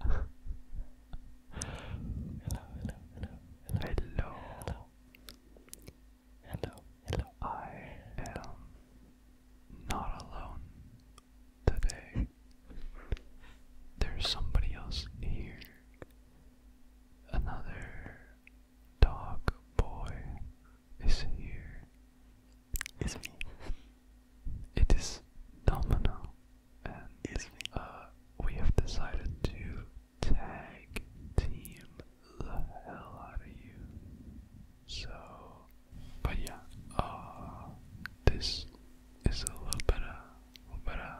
hello, hello, hello, hello, hello, hello, hello. I am not alone today. There's somebody else here. Another dog boy is here. It's me. It is Domino and Uh, we have decided to tag team the hell out of you. So, but yeah, uh, this is a little bit of, little bit of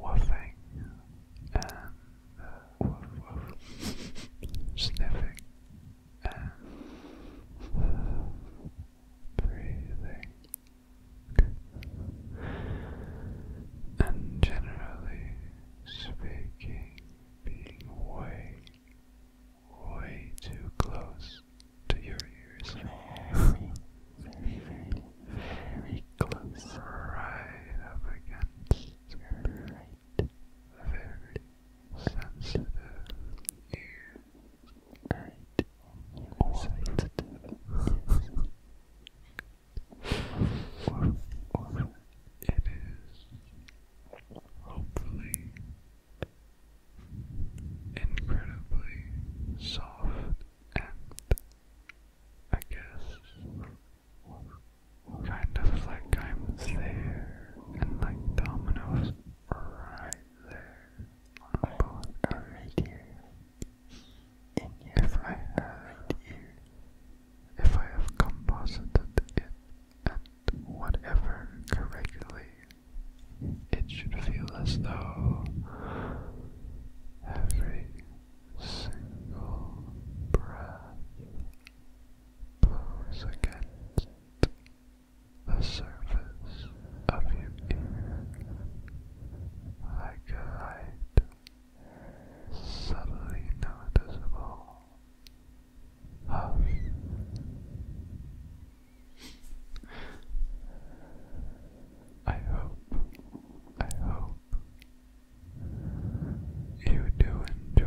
woofing and uh, woof, woof, sniffing and breathing, and generally speaking, being way, way too close to your ears. Very, very, very, close. Right up against right. very sensitive ears. Or it is hopefully incredibly soft and I guess kind of like I'm there and like dominoes right there both are right here. In If I have right here. If I have composited it at whatever correctly, it should feel as though every single breath blows against the surface of your ear like subtly noticeable I hope, I hope you do enjoy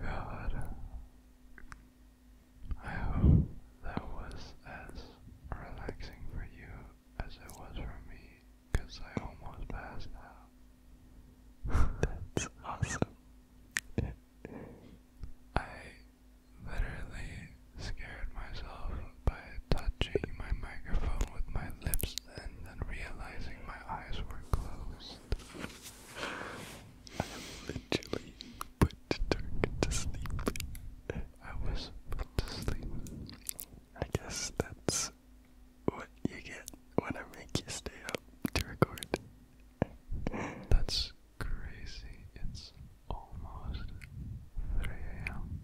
God, I hope that was as relaxing for you as it was for me, I almost passed out. That's awesome. I literally scared myself by touching my microphone with my lips and then realizing my eyes were closed. I literally put the turkey to sleep. I was put to sleep. I guess that's what you get when I make you stay up to record. That's crazy. It's almost 3 a.m.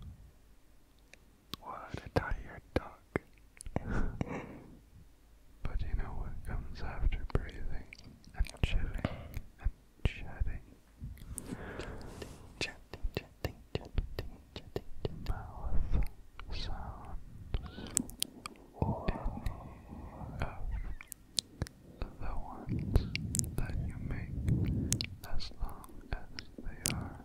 What a tired dog. but you know what comes after breathing and chilling and chatting? Chatting, chatting, chatting, chatting, chatting. Mouth sounds. Or any of the ones that you make as long as they are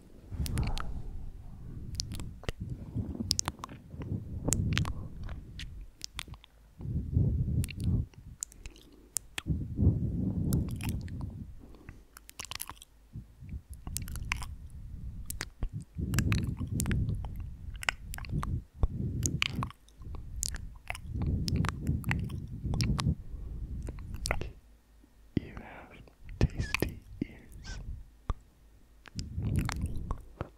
You have tasty ears.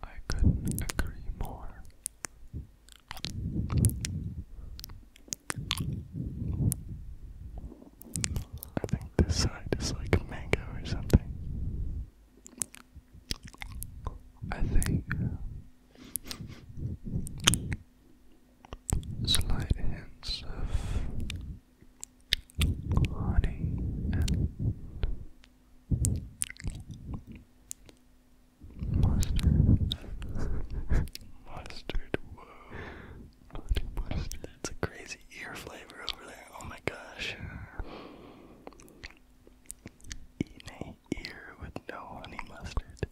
I couldn't agree more. I think this side is like a mango or something. I think slight hints of honey and mustard. mustard, whoa. Honey mustard. That's a crazy ear flavor over there. Oh my gosh. Eating a ear with no honey mustard.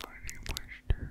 Honey mustard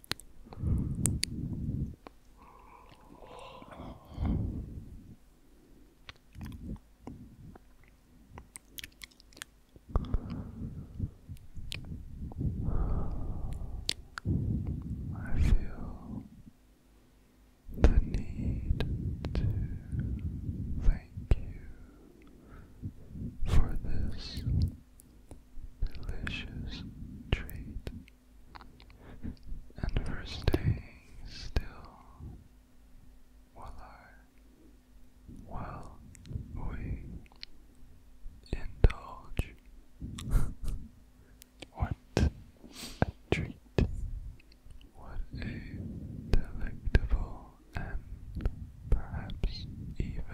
I feel the need to thank you for this delicious treat and for staying still while I while we indulge what a treat what a delectable and perhaps even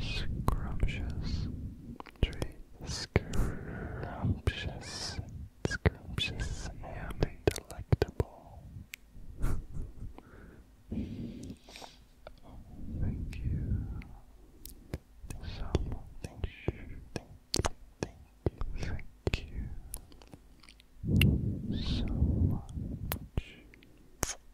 Scrumptious tree. Scrumptious. Scrumptious. Yummy. Delectable. Thank you. So thank you. Thank you. Thank you. So much.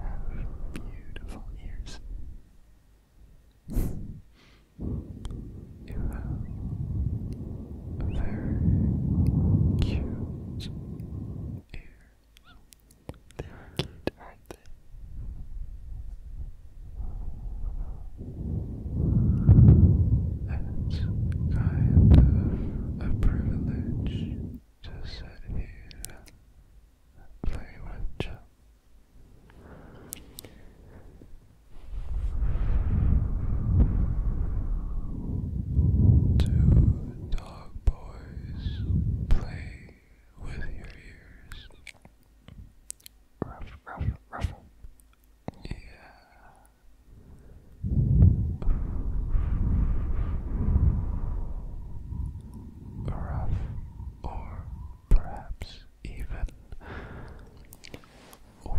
have beautiful ears. you have very cute ears. They are cute, aren't they? It's kind of a privilege to sit here and play with you. Two dog boys play with your ears. Ruff, ruff, ruff. Yeah. Rough, or perhaps even wolf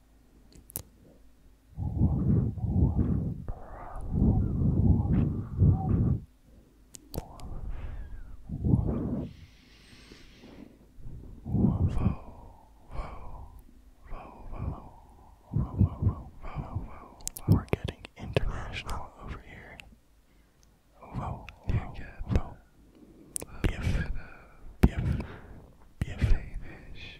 we're getting international over here. Whoa, whoa, whoa. Biff, biff, biff. Danish,